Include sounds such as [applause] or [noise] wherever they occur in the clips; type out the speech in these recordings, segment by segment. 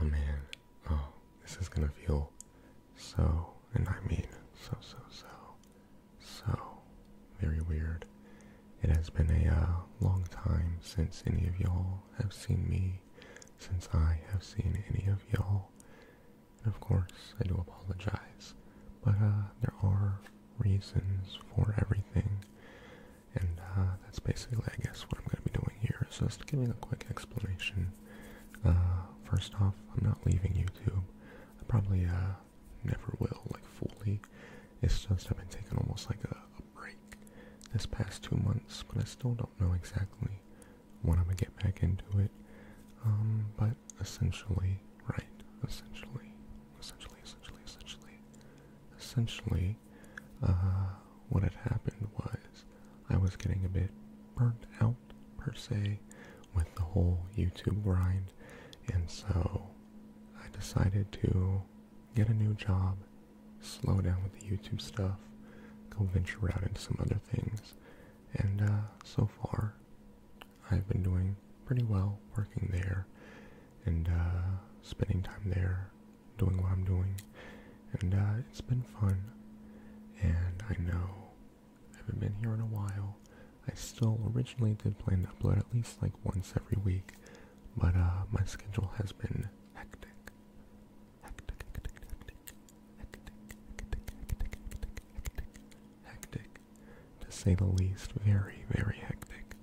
Oh man, oh, this is gonna feel so, and I mean so, so, so, so very weird. It has been a uh, long time since any of y'all have seen me, since I have seen any of y'all. And of course, I do apologize, but uh, there are reasons for everything. And uh, that's basically, I guess, what I'm going to be doing here is just giving a quick explanation. Uh, first off, I'm not leaving YouTube. I probably uh, never will, like, fully. It's just I've been taking almost like a, a break this past two months, but I still don't know exactly when I'm going to get back into it. Um, but essentially, right, essentially, essentially, essentially, essentially, essentially, uh, what had happened was I was getting a bit burnt out, per se, with the whole YouTube grind, and so I decided to get a new job, slow down with the YouTube stuff, go venture out into some other things, and uh, so far, I've been doing pretty well working there and uh, spending time there doing what I'm doing, and uh, it's been fun. And I know I haven't been here in a while. I still originally did plan to upload at least like once every week, but uh, my schedule has been hectic. Hectic, hectic, hectic, hectic, hectic, hectic, to say the least. Very, very hectic,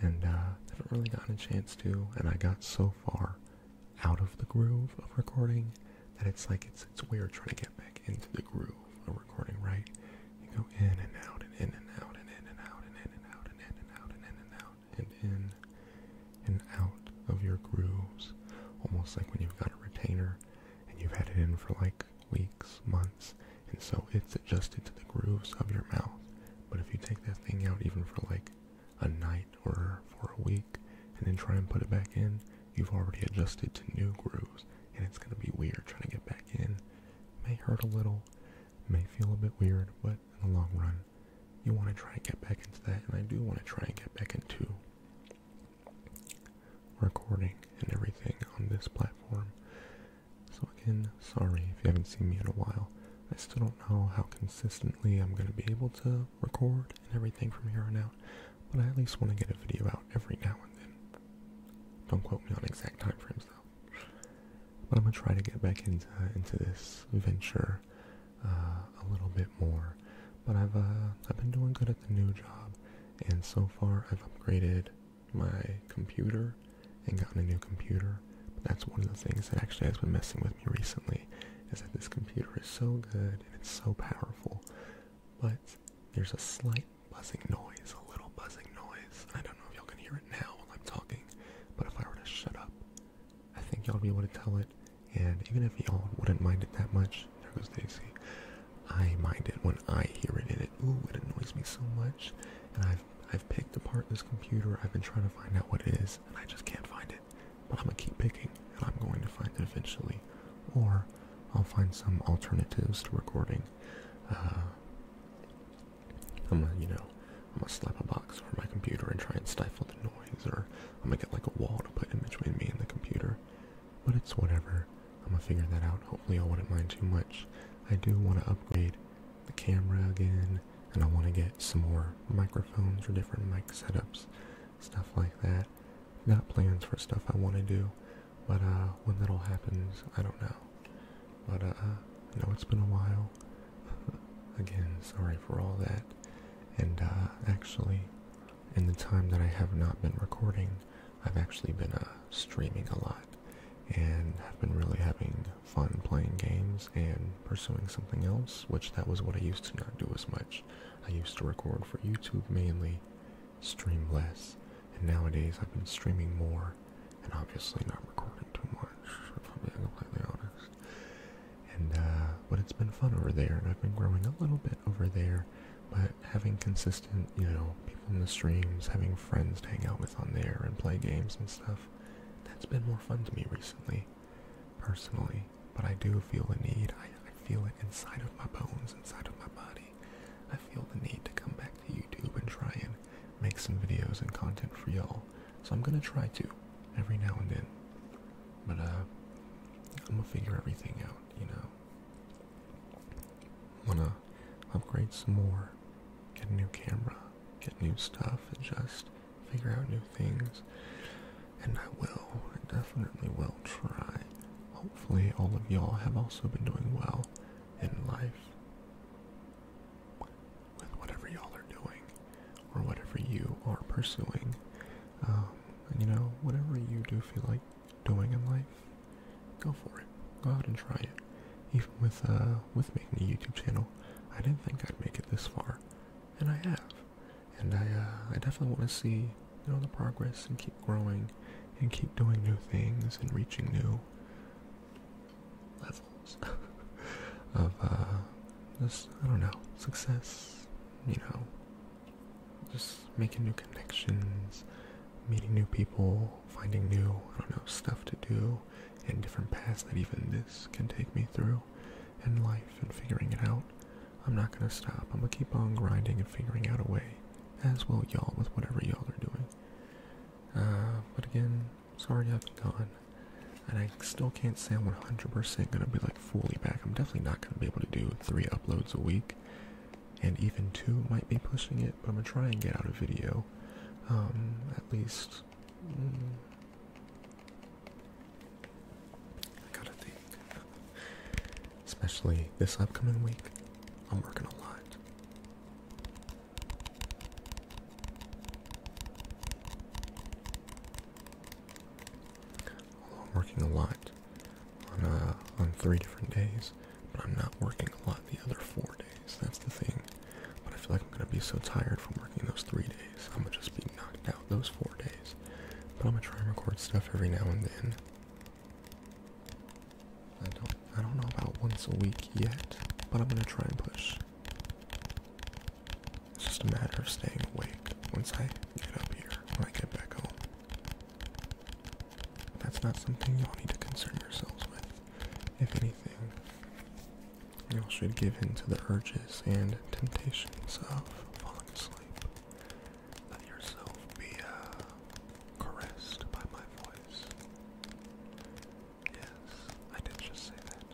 and I uh, haven't really gotten a chance to. And I got so far out of the groove of recording that it's like it's it's weird trying to get back into the groove of recording, right? You go in and out and in and out and in and out and in and out and in and out and in and out and in and out of your grooves. Almost like when you've got a retainer and you've had it in for like weeks, months, and so it's adjusted to the grooves of your mouth. But if you take that thing out even for like a night or for a week and then try and put it back in, you've already adjusted to new grooves and it's going to be weird trying to get back in. May hurt a little, may feel a bit weird, but in the long run, you want to try and get back into that, and I do want to try and get back into recording and everything on this platform. So, again, sorry if you haven't seen me in a while. I still don't know how consistently I'm going to be able to record and everything from here on out, but I at least want to get a video out every now and then. Don't quote me on exact time frames though. But I'm going to try to get back into, into this venture uh, a little bit more. But I've, uh, I've been doing good at the new job, and so far I've upgraded my computer and gotten a new computer but that's one of the things that actually has been messing with me recently is that this computer is so good and it's so powerful, but there's a slight buzzing noise, a little buzzing noise. I don't know if y'all can hear it now while I'm talking, but if I were to shut up, I think y'all would be able to tell it. And even if y'all wouldn't mind it that much, there goes Daisy. I mind it when I hear it in it. Ooh, it annoys me so much. And I've I've picked apart this computer. I've been trying to find out what it is, and I just can't find it but I'm gonna keep picking and I'm going to find it eventually. Or I'll find some alternatives to recording. Uh, I'm gonna, you know, I'm gonna slap a box over my computer and try and stifle the noise, or I'm gonna get like a wall to put in between me and the computer. But it's whatever. I'm gonna figure that out. Hopefully, I wouldn't mind too much. I do want to upgrade the camera again and I want to get some more microphones or different mic setups, stuff like that. got plans for stuff I want to do, but uh, when that all happens, I don't know. But uh, I know it's been a while. [laughs] Again, sorry for all that. And uh, actually, in the time that I have not been recording, I've actually been uh, streaming a lot and have been really having fun playing games and pursuing something else which that was what I used to not do as much. I used to record for YouTube mainly, stream less, and nowadays I've been streaming more and obviously not recording too much, if I'm being completely honest. And, uh, but it's been fun over there, and I've been growing a little bit over there, but having consistent, you know, people in the streams, having friends to hang out with on there and play games and stuff, that's been more fun to me recently, personally but I do feel the need. I, I feel it inside of my bones, inside of my body. I feel the need to come back to YouTube and try and make some videos and content for y'all. So I'm gonna try to every now and then. But uh I'm gonna figure everything out, you know. Wanna upgrade some more, get a new camera, get new stuff, and just figure out new things, and I will, I definitely will try. Hopefully, all of y'all have also been doing well in life with whatever y'all are doing or whatever you are pursuing. Um, you know, whatever you do feel like doing in life, go for it. Go out and try it. Even with uh, with making a YouTube channel, I didn't think I'd make it this far, and I have and I, uh, I definitely want to see, you know, the progress and keep growing, and keep doing new things and reaching new levels [laughs] of uh, I don't know success, you know, just making new connections, meeting new people, finding new I don't know stuff to do, and different paths that even this can take me through and life and figuring it out. I'm not gonna stop. I'm gonna keep on grinding and figuring out a way, as well y'all with whatever y'all are doing. Uh, but again, sorry I've been gone, and I still can't say I'm 100% gonna be like fully back. I'm definitely not gonna be able to do three uploads a week, and even two might be pushing it. But I'm gonna try and get out a video, um, at least. Mm, I gotta think. Especially this upcoming week, I'm working a lot. Although I'm working a lot on uh, on three different days, but I'm not working a lot the other four days. That's the thing. But I feel like I'm gonna be so tired from working those three days. I'm gonna just be knocked out those four days. But I'm gonna try and record stuff every now and then. I don't I don't know about once a week yet, but I'm gonna try and push. It's just a matter of staying awake once I get up here, when I get back home. that's not something y'all need to concern yourselves with. If anything, y'all should give in to the urges and temptations of falling asleep. Let yourself be uh, caressed by my voice. Yes, I did just say that.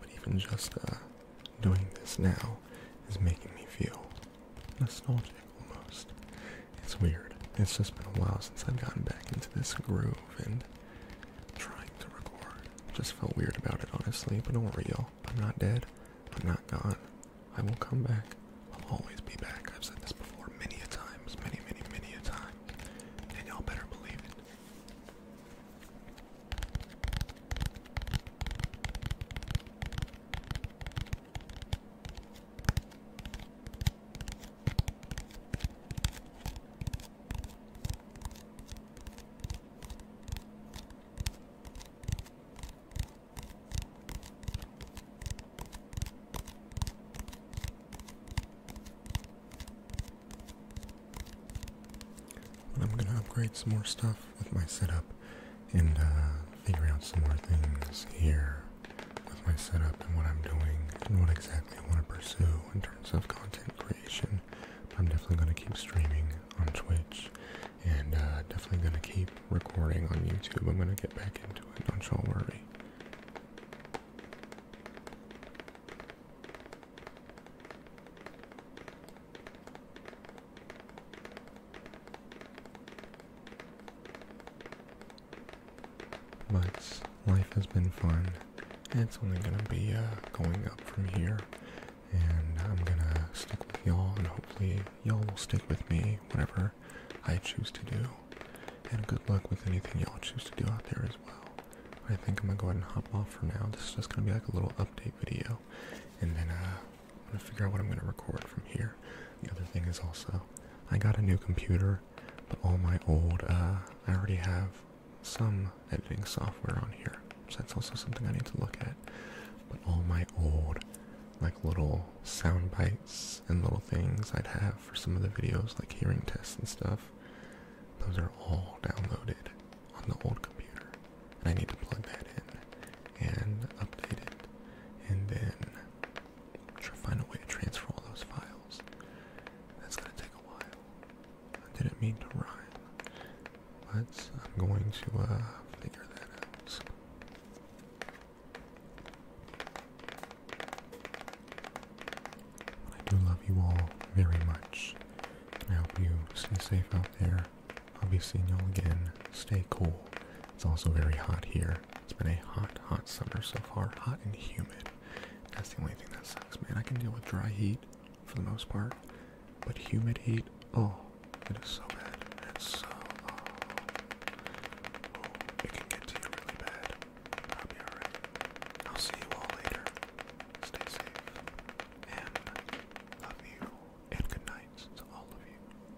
But even just uh, doing this now is making me feel nostalgic almost. It's weird. It's just been a while since I've gotten back into this groove and trying to record. Just felt weird about it, honestly, but don't worry, y'all. I'm not dead. I'm not gone. I will come back. I'll always be back. I've said this before many a times, many, many, many a time. And y'all better believe it. I'm gonna upgrade some more stuff with my setup and uh, figure out some more things here with my setup and what I'm doing and what exactly I want to pursue in terms of content creation. I'm definitely going to keep streaming on Twitch and uh, definitely going to keep recording on YouTube. I'm going to get back into it, don't y'all worry. But life has been fun. It's only gonna be uh, going up from here, and I'm gonna stick with y'all, and hopefully y'all will stick with me, whatever I choose to do. And good luck with anything y'all choose to do out there as well. I think I'm gonna go ahead and hop off for now. This is just gonna be like a little update video, and then uh, I'm gonna figure out what I'm gonna record from here. The other thing is also, I got a new computer, but all my old, uh, I already have some editing software on here, so that's also something I need to look at. But all my old, like little sound bites and little things I'd have for some of the videos, like hearing tests and stuff, those are all downloaded on the old computer, and I need to plug that in and update it, and then try find a way to transfer all those files. That's gonna take a while. I didn't mean to rhyme, but I'm going to uh, figure that out. I do love you all very much. I hope you stay safe out there. I'll be seeing y'all again. Stay cool. It's also very hot here. It's been a hot, hot summer so far. Hot and humid. That's the only thing that sucks, man. I can deal with dry heat for the most part, but humid heat, oh, it is so bad. It's so, oh, it can get to you really bad. I'll be alright. I'll see you all later. Stay safe. And love you. And good night to all of you.